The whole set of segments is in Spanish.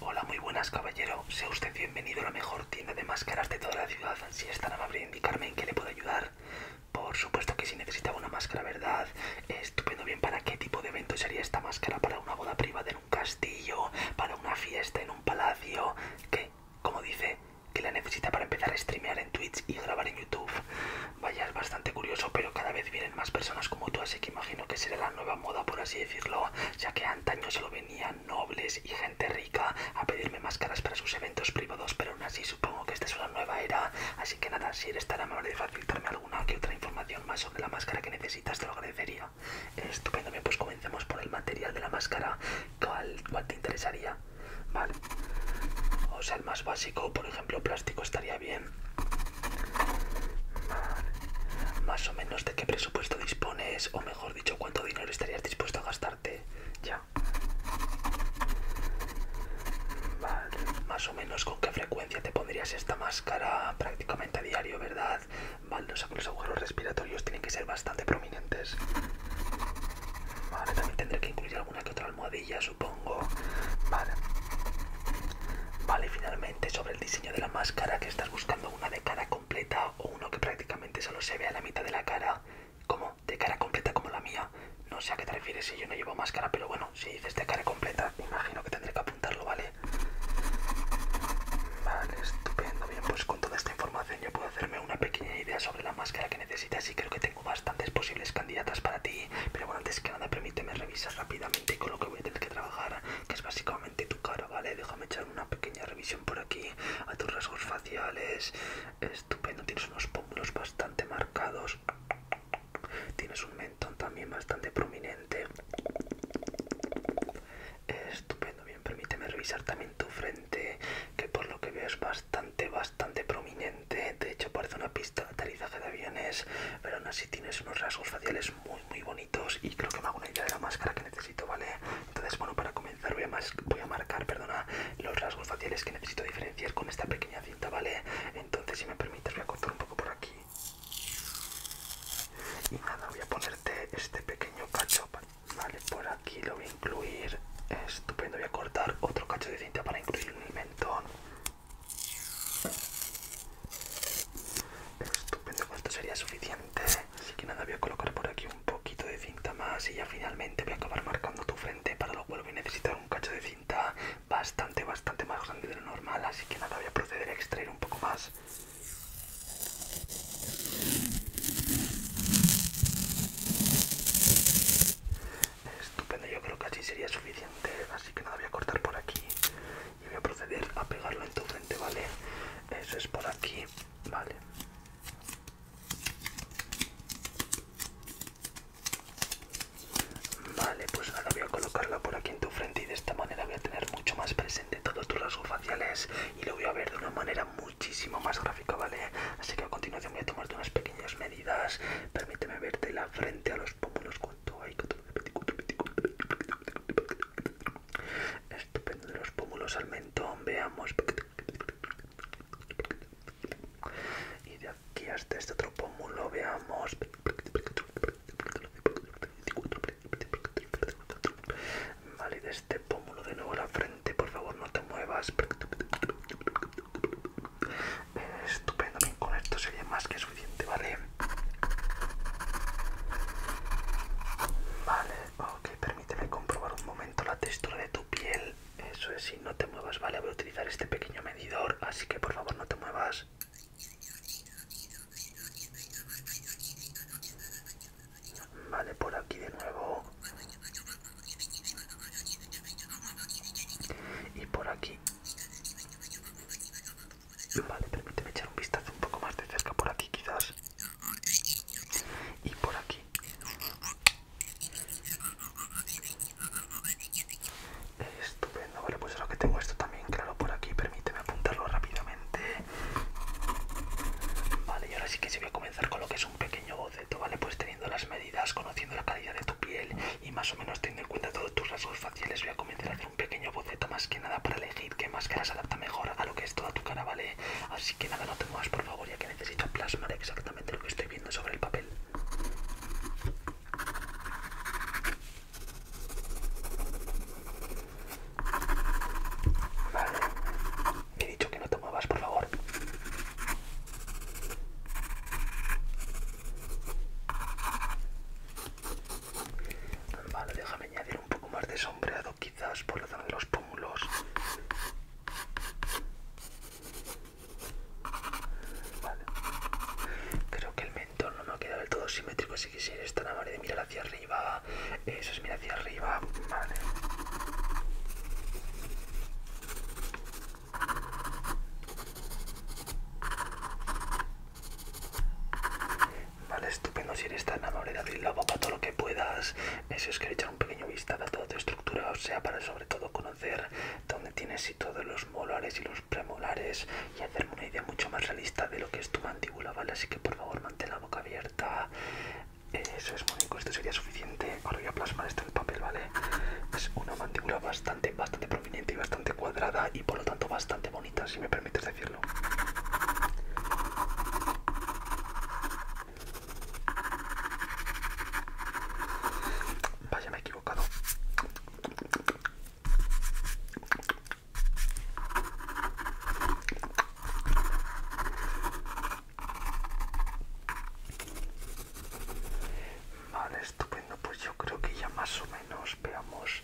Hola, muy buenas, caballero. Sea usted bienvenido a la mejor tienda de máscaras de toda la ciudad. Si es tan amable indicarme en qué le puedo ayudar. Por supuesto que si necesita una máscara, ¿verdad? Estupendo, bien, ¿para qué tipo de evento sería esta máscara? ¿Para una boda privada en un castillo? ¿Para una fiesta en un palacio? que Como dice, que la necesita para empezar a streamear en Twitch y grabar en YouTube. Vaya, es bastante curioso, pero cada vez vienen más personas como tú, así que imagino que será la nueva moda, por así decirlo, ya que antaño solo venían nobles y gente rica a pedirme máscaras para sus eventos privados, pero aún así supongo que esta es una nueva era, así que nada, si eres tan amable de facilitarme alguna que otra información más sobre la máscara que necesitas, te lo agradecería. Estupendo, bien, pues comencemos por el material de la máscara, ¿cuál, cuál te interesaría? Vale. O sea, el más básico, por ejemplo, plástico estaría bien. Más o menos de qué presupuesto dispones, o mejor dicho, cuánto dinero estarías dispuesto a gastarte. Ya. Vale. Más o menos con qué frecuencia te pondrías esta máscara prácticamente a diario, ¿verdad? Vale, los agujeros respiratorios tienen que ser bastante prominentes. Vale, también tendré que incluir alguna que otra almohadilla, supongo. Vale, finalmente sobre el diseño de la máscara que estás buscando una de cara completa o uno que prácticamente solo se vea la mitad de la cara, como de cara completa como la mía. No sé a qué te refieres si yo no llevo máscara, pero bueno, si dices de cara completa, imagino que tendré que apuntarlo, ¿vale? Vale, estupendo. Bien, pues con toda esta información yo puedo hacerme una pequeña idea sobre la máscara que necesitas y creo que tengo bastantes posibles candidatas para ti. Pero bueno, antes que nada, permíteme revisar rápidamente con lo que voy a tener que trabajar, que es básicamente tu cara, ¿vale? Déjame echar una pequeña revisión por aquí a tus rasgos faciales. Estupendo, tienes unos pómulos bastante marcados. Tienes un mentón también bastante prominente. Estupendo, bien, permíteme revisar también tu frente, que por lo que veo es bastante, bastante prominente de hecho parece una pista de aterrizaje de aviones, pero aún así tienes unos rasgos faciales muy muy bonitos y creo que me hago una idea de la máscara que necesito, ¿vale? Entonces, bueno, para comenzar voy a, marcar, perdona, los rasgos faciales que necesito diferenciar con esta pequeña cinta, ¿vale? Entonces, si me permites, voy a cortar un poco por aquí. Y nada, voy a ponerte este pequeño cacho, ¿vale? Por aquí lo voy a incluir, estupendo, voy a cortar otro cacho de cinta para incluir mi mentón. Estupendo, esto sería suficiente. Así que nada, voy a colocar por aquí un poquito de cinta más y ya finalmente voy a acabar marcando tu frente, para lo cual voy a necesitar un cacho de cinta bastante, bastante más grande de lo normal. Así que nada, voy a proceder a extraer un poco más. Estupendo, yo creo que así sería suficiente. Así que nada, voy a cortar por aquí y voy a proceder a pegarlo en tu frente, ¿vale? Eso es por aquí, ¿vale? Vale, pues ahora voy a colocarla por aquí en tu frente y de esta manera voy a tener mucho más presente todos tus rasgos faciales y lo voy a ver de una manera muchísimo más gráfica, ¿vale? Así que a continuación voy a tomarte unos pequeños medios Permíteme Permíteme verte la frente a los pómulos. ¿Cuánto hay? Estupendo de los pómulos al mentón. Veamos. Y de aquí hasta este otro pómulo. Veamos. Vale, de este pómulo de nuevo a la frente, por favor no te muevas. Estupendo, bien, con esto sería más que suficiente, ¿vale? Vale, ok, permíteme comprobar un momento la textura de tu piel. Eso es, si no te muevas, vale, voy a utilizar este pequeño medidor, así que por favor no te muevas. Vale, por aquí de nuevo y por aquí vale permíteme echar un vistazo un poco más de cerca por aquí quizás y por aquí estupendo vale pues ahora que tengo esto también claro por aquí permíteme apuntarlo rápidamente vale y ahora sí que se sí voy a comenzar con lo que es un pequeño boceto vale pues las medidas, conociendo la calidad de tu piel y más o menos teniendo en cuenta todos tus rasgos faciales, voy a comenzar a hacer un pequeño boceto más que nada para elegir qué máscara se adapta mejor a lo que es toda tu cara, ¿vale? Así que nada, no te muevas por favor, ya que necesito plasmar exactamente lo que estoy viendo sobre el papel. Me he dicho que no te muevas, por favor. Vale, déjame añadir un poco más de sombreado, quizás por la zona de los pómulos. Creo que el mentón no me ha quedado del todo simétrico, así que si eres tan amable de mirar hacia arriba, eso es mira arriba, vale. estupendo. Si eres tan amable de abrir la boca todo lo que puedas, Eso es que echar un pequeño vistazo a toda tu estructura, o sea, para sobre todo conocer dónde tienes y todos los molares y los premolares y hacerme una idea mucho más realista de lo que es tu mandíbula, ¿vale? Así que por favor mantén la boca abierta, eso es, bonito esto sería suficiente. Ahora voy a plasmar esto en papel, ¿vale? Es una mandíbula bastante, bastante prominente y bastante cuadrada y por lo tanto bastante bonita, si me permites decirlo. Vaya, me he equivocado. Vale, estupendo. Pues yo creo que ya más o menos, veamos,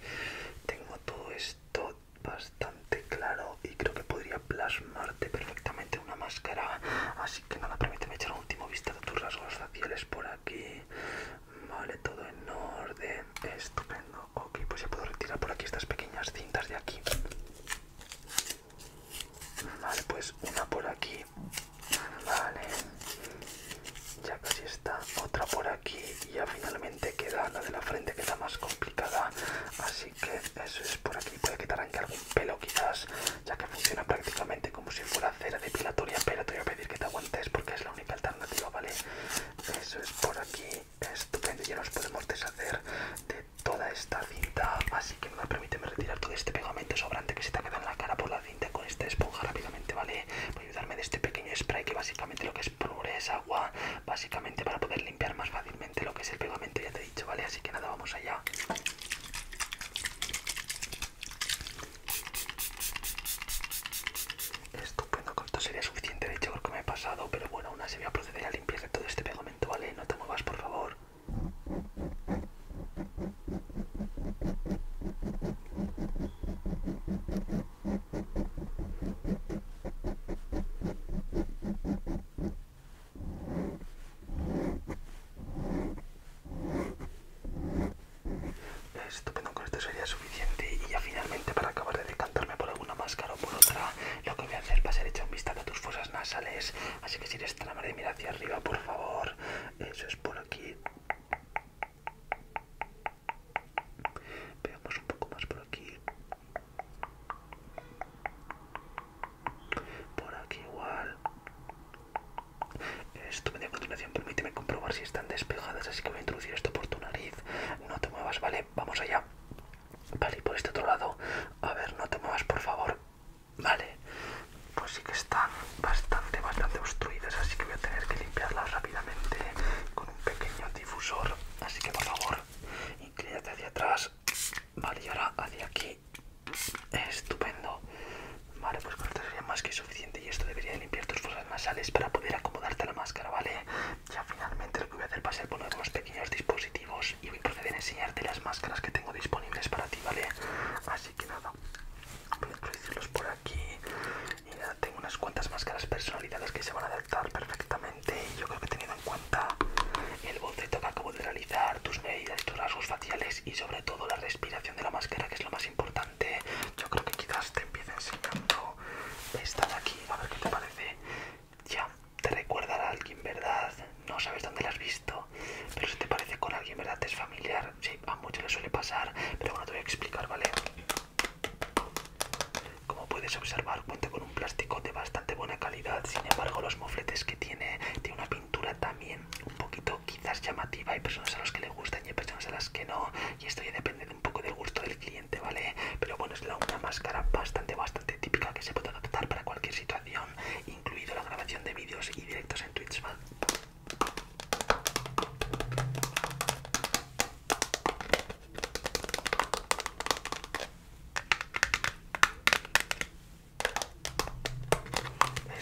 tengo todo esto bastante claro y creo que podría plasmarte perfectamente una máscara. Así que nada, permíteme echar un último vistazo a tus rasgos faciales por aquí. Vale, todo en orden. Estupendo. Ok, pues ya puedo retirar por aquí estas pequeñas cintas de aquí. Vale, pues una por aquí. Vale. Ya casi está. Otra por aquí. Y ya finalmente queda la de la frente que está más complicada. Así que eso es por aquí. Puede que te arranque algún pelo quizás. Ya que funciona prácticamente como si fuera cera depilatoria. Pero te voy a pedir que te aguantes porque es la única alternativa, ¿vale? Eso es por aquí estupendo ya nos podemos deshacer de toda esta cinta así que me permíteme retirar todo este pegamento sobrante que se te ha quedado en la cara por la cinta con esta esponja rápidamente vale voy a ayudarme de este pequeño spray que básicamente lo que es puré es agua básicamente para poder limpiar más fácilmente lo que es el pegamento ya te he dicho vale así que nada vamos allá Estupendo, con esto sería suficiente, de hecho, porque me he pasado, pero bueno, aún así voy a proceder Empieza todo este pegamento, ¿vale? No te muevas, por favor. Estupendo, con esto sería suficiente y ya finalmente para acabar de decantarme por alguna máscara o por otra, lo que voy a hacer va a ser echar un vistazo a tus fosas nasales, así que si eres tan amable mira hacia arriba, por favor. Eso es por aquí. Veamos un poco más por aquí. Por aquí igual. Esto dio continuación, permíteme comprobar si están despejadas, así que voy a introducir esto por tu nariz. No te muevas, ¿vale? vamos allá. Vale, y por este otro lado, a ver, no te muevas, por favor. Vale, pues sí que están bastante, bastante obstruidas, así que voy a tener que limpiarlas rápidamente con un pequeño difusor. Así que por favor, inclínate hacia atrás. Vale, y ahora hacia aquí. Estupendo. Vale, pues con esto sería más que suficiente y esto debería limpiar tus fosas nasales para poder acomodarte la máscara, ¿vale? Ya finalmente lo que voy a hacer va a ser poner unos pequeños dispositivos y voy a proceder a enseñarte las máscaras que tengo disponibles para ti, ¿vale? Así que nada, voy a introducirlos por aquí. Y nada, tengo unas cuantas máscaras personalizadas que se van a adaptar perfectamente. Y yo creo que teniendo en cuenta el boceto que acabo de realizar, tus medidas, tus rasgos faciales y sobre todo la respiración de la máscara, que es lo más importante yo creo que quizás te empiece enseñando esta de aquí, a ver qué te parece. Ya, te recuerda a alguien, ¿verdad? No sabes dónde la has visto, pero si te parece con alguien, ¿verdad? Te es familiar. Sí, a muchos le suele pasar, pero bueno, te voy a explicar, ¿vale? Como puedes observar, cuenta con un plástico de bastante buena calidad. Sin embargo, los mofletes que tiene, tiene una pintura también un poquito quizás llamativa. Hay personas a las que le gustan y hay personas a las que no. Y esto ya depende un poco del gusto del cliente, ¿vale? Pero bueno, es la, una máscara bastante, bastante típica que se puede adaptar para cualquier situación, incluido la grabación de vídeos y directos en Twitch, ¿vale?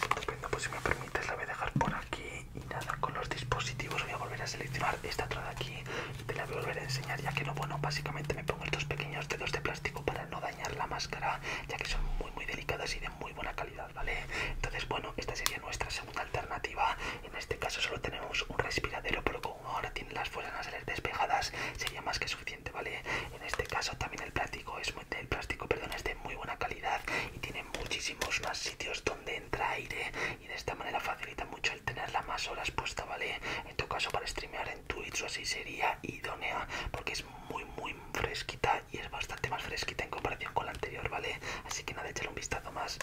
Estupendo, pues si me permites la voy a dejar por aquí y nada con los dispositivos voy a volver a seleccionar esta otra aquí te la voy a volver a enseñar ya que lo bueno básicamente me pongo estos pequeños dedos de plástico para no dañar la máscara ya que son muy muy delicadas y de muy buena calidad vale entonces bueno esta sería nuestra segunda alternativa en este caso solo tenemos un respiradero pero como ahora tienen las fuerzas nasales despejadas sería más que suficiente vale en este caso también el plástico es muy, el plástico perdón es de muy buena calidad y tiene muchísimos más sitios donde entra aire y de esta manera facilita mucho el tenerla más horas puesta, ¿vale? En tu caso para streamear en Twitch o así sería idónea porque es muy muy fresquita y es bastante más fresquita en comparación con la anterior, ¿vale? Así que nada, echarle un vistazo más.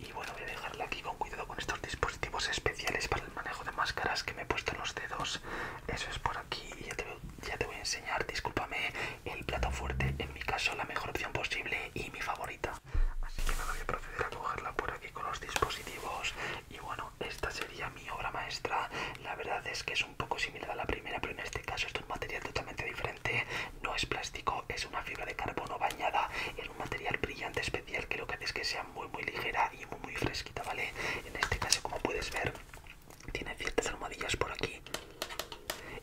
Y bueno, voy a dejarla aquí con cuidado con estos dispositivos especiales para el manejo de máscaras que me he puesto en los dedos. Eso es por aquí y ya te, voy a enseñar, discúlpame, el plato fuerte, en mi caso la mejor opción posible y mi favorita. Así que me voy a proceder a cogerla por aquí con los dispositivos. Y bueno, esta sería mi obra maestra. La verdad es que es un poco similar a la primera, pero en este caso es un material totalmente diferente no es plástico, es una fibra de carbono bañada en un material brillante especial que lo que hace es que sea muy muy ligera y muy muy fresquita, ¿vale? En este caso, como puedes ver, tiene ciertas almohadillas por aquí.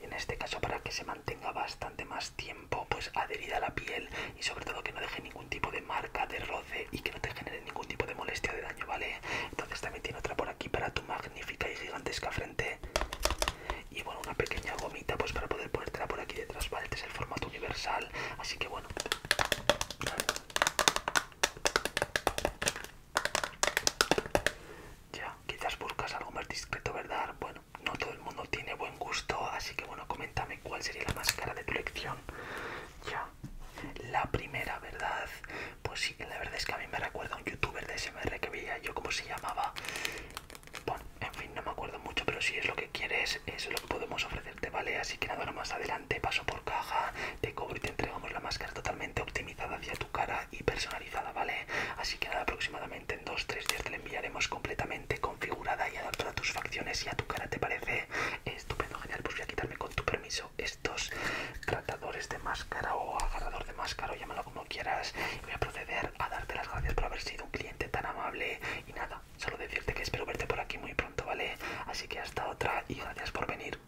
En este caso, para que se mantenga bastante más tiempo, pues adherida a la piel y sobre todo que no deje ningún tipo de marca, de roce y que no te genere ningún tipo de molestia de daño, ¿vale? Entonces también tiene otra por aquí para tu magnífica y gigantesca frente. Y bueno, una pequeña gomita pues para poder ponértela por aquí detrás, ¿vale? Este es el formato universal, así que bueno. Ya, quizás buscas algo más discreto, ¿verdad? Bueno, no todo el mundo tiene buen gusto, así que bueno, coméntame cuál sería la máscara de tu elección. Ya, la primera, ¿verdad? Pues sí, la verdad es que a mí me recuerda a un youtuber de SMR que veía yo cómo se llamaba. Bueno, en fin, no me acuerdo mucho, pero si es lo que quieres, es lo que podemos ofrecerte, ¿vale? Así que nada, ahora más adelante, paso por caja, te cobro y te entregamos la máscara totalmente optimizada hacia tu cara y personalizada, ¿vale? Así que nada, aproximadamente en 2-3 días te la enviaremos completamente configurada y adaptada a tus facciones y a tu cara, ¿te parece? Estupendo, genial, pues voy a quitarme con tu permiso estos tratadores de máscara o agarrador de máscara o llámalo como quieras. Voy a proceder a darte las gracias por haber sido un cliente tan amable y nada, solo decirte que espero verte por aquí muy pronto, ¿vale? Así que hasta otra y gracias por venir.